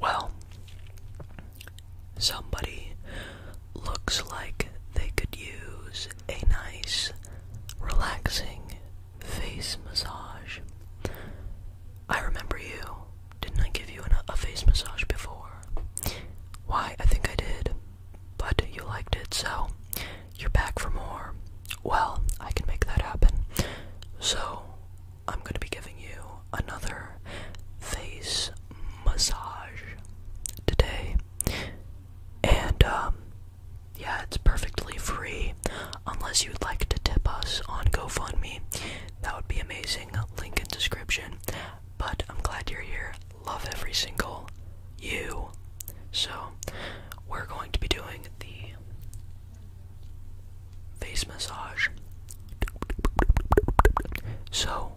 Well, somebody looks like they could use a nice, relaxing face massage. I remember you. Didn't I give you a face massage before? Why, I think I did. But you liked it, so you're back for more. Well, I can make that happen. So, I'm gonna be giving you another face massage today. And, um, yeah, it's perfectly free. Unless you'd like to tip us on GoFundMe, that would be amazing. Link in description. But I'm glad you're here. Love every single you. So, we're going to be doing the face massage. So,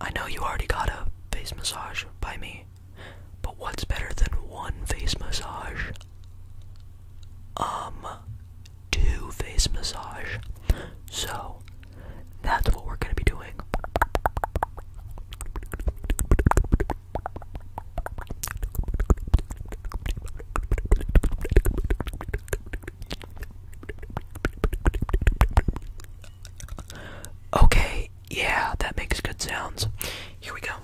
I know you already got a face massage by me, but what's better than one face massage? Um, two face massage. So, that's what we're going to be doing. Okay, yeah, that makes good sounds. Here we go.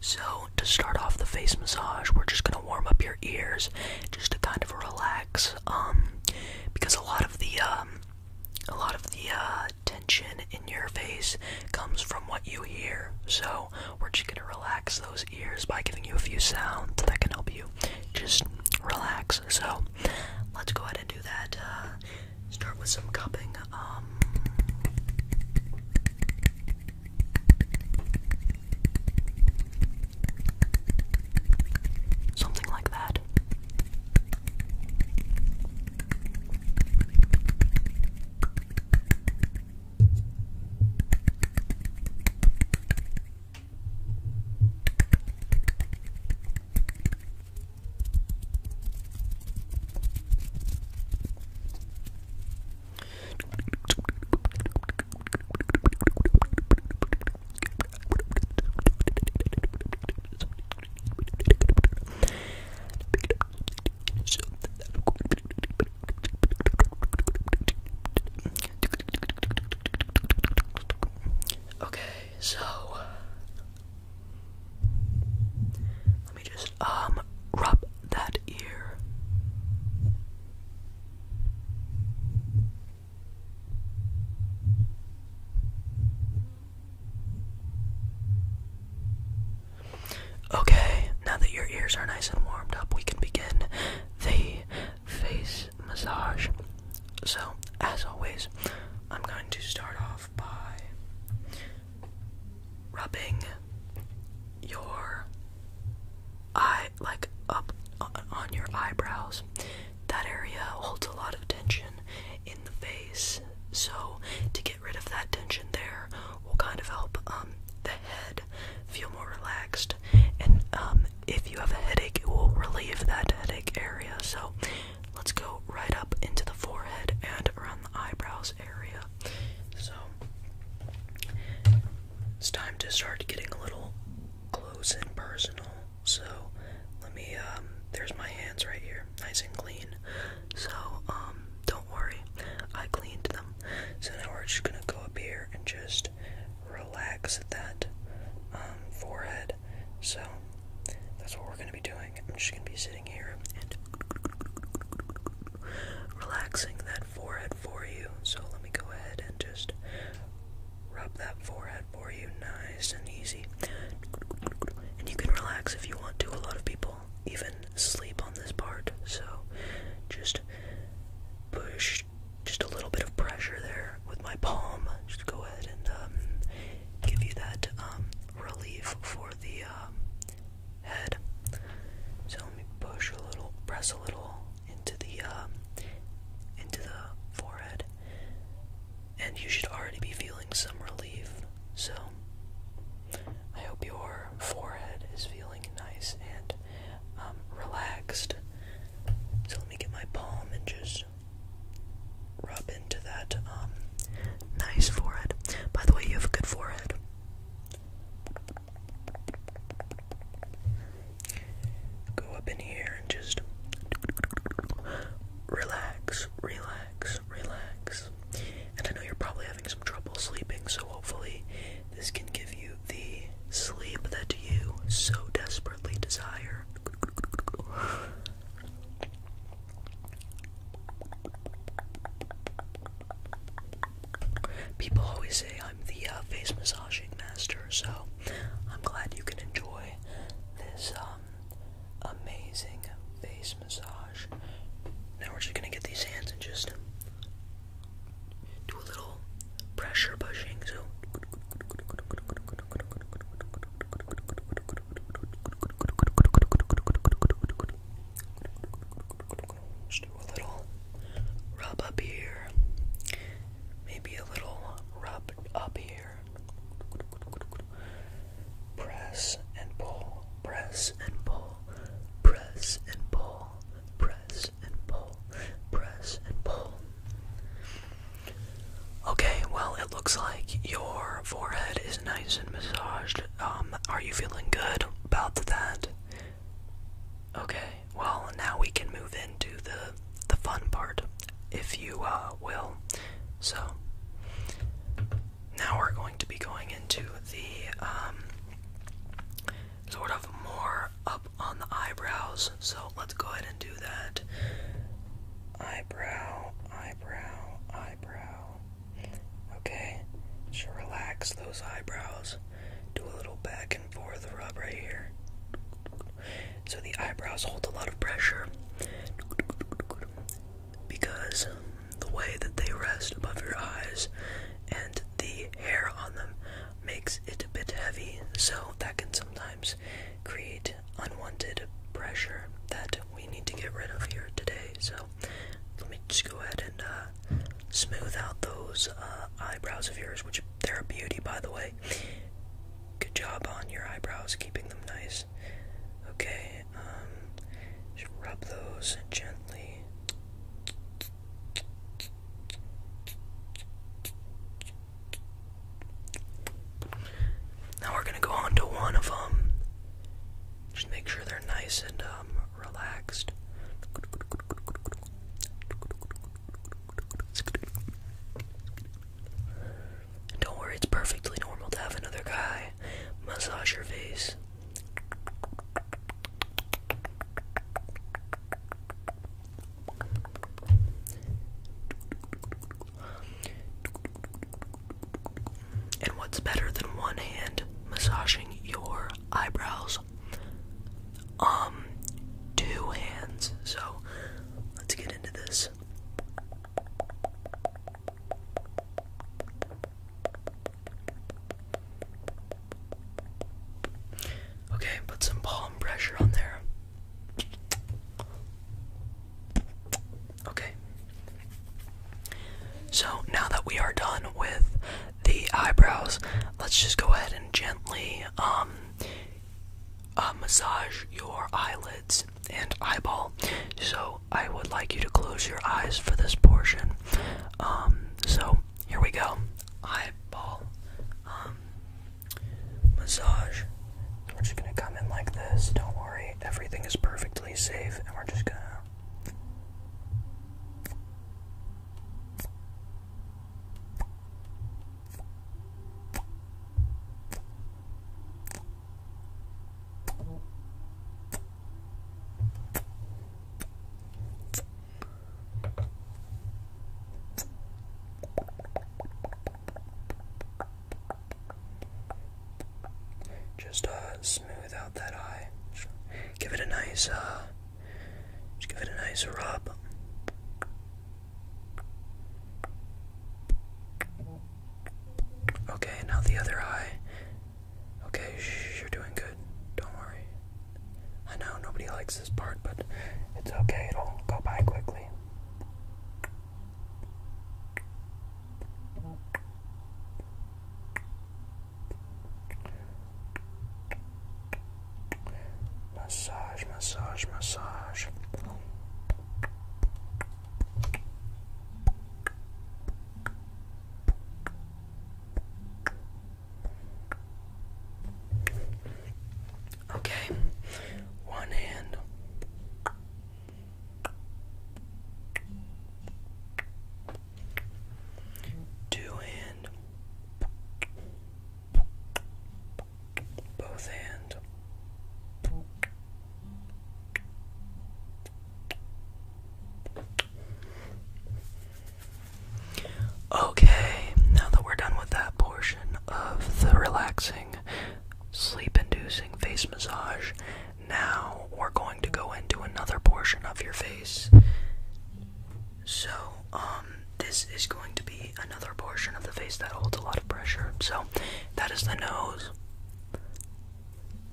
So, to start off the face massage, we're just going to warm up your ears just to kind of relax um, because a lot of the um, a lot of the uh, tension in your face comes from what you hear. So we're just gonna relax those ears by giving you a few sounds that can help you just relax. So let's go ahead and do that. Uh, start with some cupping. Um, Something like that. Okay, so let me just um rub that ear. Okay, now that your ears are nice and warmed up, we can begin the face massage. So, as always, I'm going to start off by rubbing your eye like up uh, on your eyebrows. That area holds a lot of tension in the face. So, to get rid of that tension there will kind of help um, the head feel more relaxed. And um, if you have a headache, it will relieve that headache area. So, let's go right up into the forehead and around the eyebrows area. So, it's time to start getting a little close and personal. So let me um, there's my hands right here, nice and clean. So um, don't worry, I cleaned them. So now we're just gonna go up here and just relax that um, forehead. So that's what we're gonna be doing. I'm just gonna be sitting here and relaxing that forehead for you. So let me go ahead and just rub that forehead for you nice and easy. And you can relax if you want to. A lot of people even sleep on this part. So just push just a little bit of pressure there with my palm. Just go ahead and um, give you that um, relief for the um, head. So let me push a little, press a little into the um, into the forehead, and you should already be feeling some relief. So I hope your forehead is feeling nice and um, relaxed. So let me get my palm and just rub into that um, nice forehead. By the way, you have a good forehead. Go up in here and just relax, relax, relax. And I know you're probably having some trouble sleeping, so hopefully this can give you the sleep that you so desperately desire. People always say I'm the uh, face massaging master, so I'm glad you can enjoy this um, amazing face massage. Now we're just gonna get these hands and just do a little pressure pushing. So. Just do a little rub up here. Maybe a little rub up here. Press and pull. Press and pull. Press and pull. Press and pull. Press and pull. Okay, well, it looks like your forehead is nice and massaged. Um, are you feeling good about that? Okay, well, now we can move into the the fun part, if you uh, will. So, now we're going to be going into the um, sort of more up on the eyebrows. So, let's go ahead and do that. Eyebrow, eyebrow, eyebrow, Okay, just relax those eyebrows. Do a little back and forth rub right here. So the eyebrows hold a lot of pressure because the way that they rest above your eyes and the hair on them makes it a bit heavy, so that can sometimes create unwanted pressure that we need to get rid of here today. So let me just go ahead and uh, smooth out those uh, eyebrows of yours, which they're a beauty, by the way. Good job on your eyebrows, keeping them nice. Okay, um, just rub those gently. Now we're gonna go on to one of them. Um, just make sure they're nice and um, relaxed. don't worry, it's perfectly normal to have another guy massage your face. And what's better than one hand massaging your eyebrows? Um, two hands. So let's get into this. Okay, put some palm pressure on there. Okay. So now that we are done with the eyebrows, let's just go ahead and gently um uh, massage your eyelids and eyeball. So I would like you to close your eyes for this portion. Um, so here we go. Eyeball um, massage we're just gonna come in like this, don't worry, everything is perfectly safe, and we're just gonna. Just uh, smooth out that eye. give it a nice, uh, just give it a nice rub. Okay, now the other eye. Okay, you're doing good. Don't worry. I know nobody likes this part, but it's okay. It'll go by quickly. Massage, massage, massage. Okay, one hand, Two hand, both hand. Okay, now that we're done with that portion of the relaxing sleep inducing face massage. Now we're going to go into another portion of your face. So, um, this is going to be another portion of the face that holds a lot of pressure. So, that is the nose.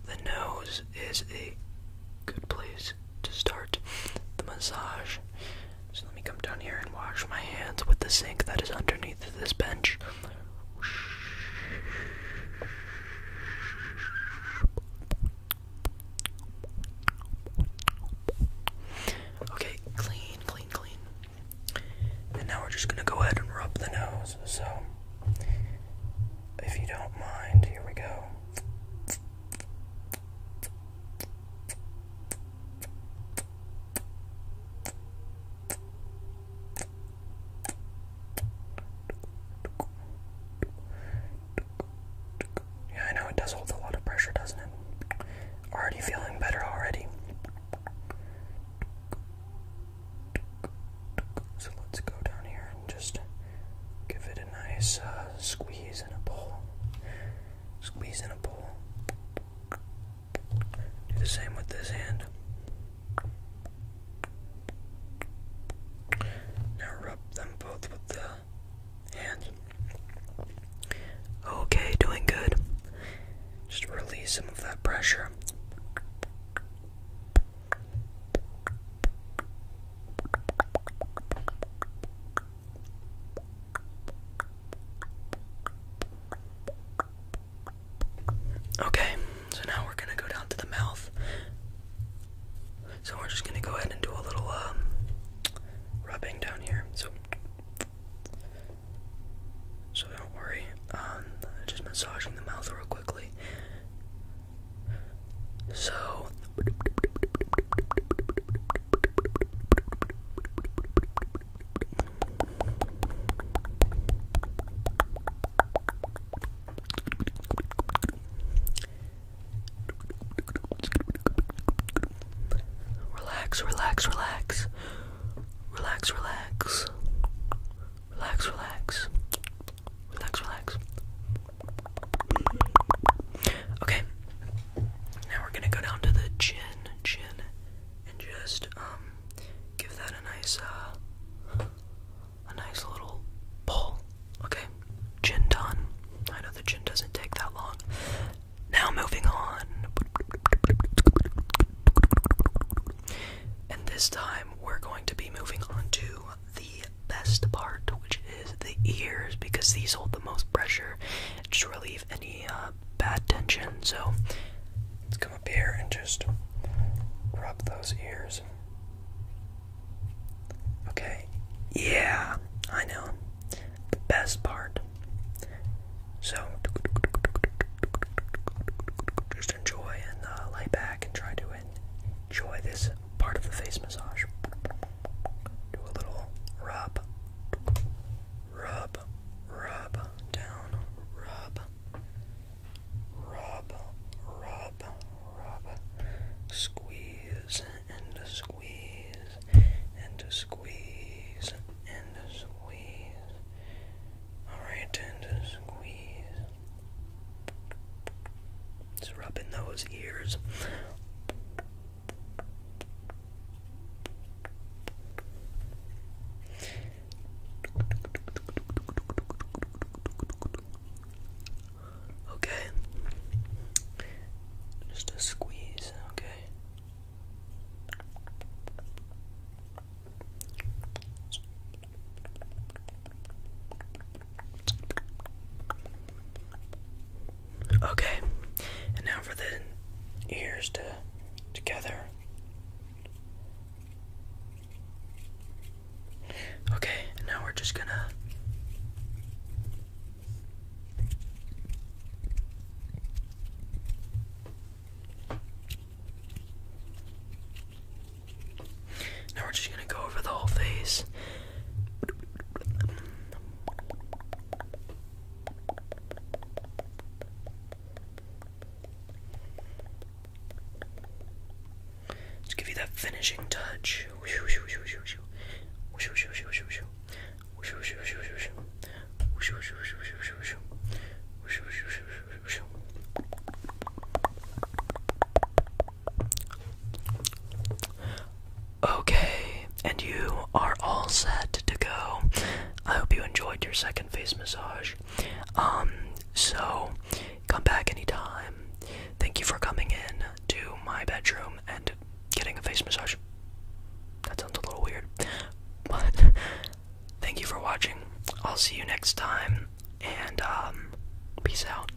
The nose is a good place to start the massage. So, let me come down here and wash my hands with the sink that is underneath this bench. Okay, clean, clean, clean. And now we're just gonna go ahead and rub the nose. So, if you don't mind, here we go. Yeah, I know it does hold a lot of pressure, doesn't it? Already feeling better already. So let's go down here and just give it a nice uh, squeeze and a pull. Squeeze and a pull. Do the same with this hand. Now rub them both with the hand. Okay, doing good. Just release some of that pressure. Okay, so now we're gonna go down to the mouth. So we're just gonna go ahead and do a little um, rubbing down here. So, so don't worry. Um, just massaging the mouth real quickly. So. Relax, relax, relax. Relax, relax. Relax, relax. Relax, relax. Okay. Now we're gonna go down to the chin, chin, and just um, give that a nice uh, a nice little pull. Okay, gin done. I know the gin doesn't take that long. Now moving on. And this time we're going to be moving on to the best part, which is the ears, because these hold the most pressure. Just relieve any uh, bad tension. So let's come up here and just rub those ears. Okay. Yeah, I know. The best part. So just enjoy and uh, lay back and try to enjoy this part of the face massage. Do a little rub. Rub, rub, down, rub, rub, rub, rub, squeeze and squeeze and squeeze and squeeze. Alright, and squeeze. Just rubbing those ears. Okay. Just a squeeze, okay. Okay, and now for the ears to together. Okay, and now we're just gonna Now we're just gonna go over the whole face. Let's give you that finishing touch. Okay, and you are all set to go. I hope you enjoyed your second face massage. Um, so come back anytime. Thank you for coming in to my bedroom and getting a face massage. That sounds a little weird, but thank you for watching. I'll see you next time, and um, peace out.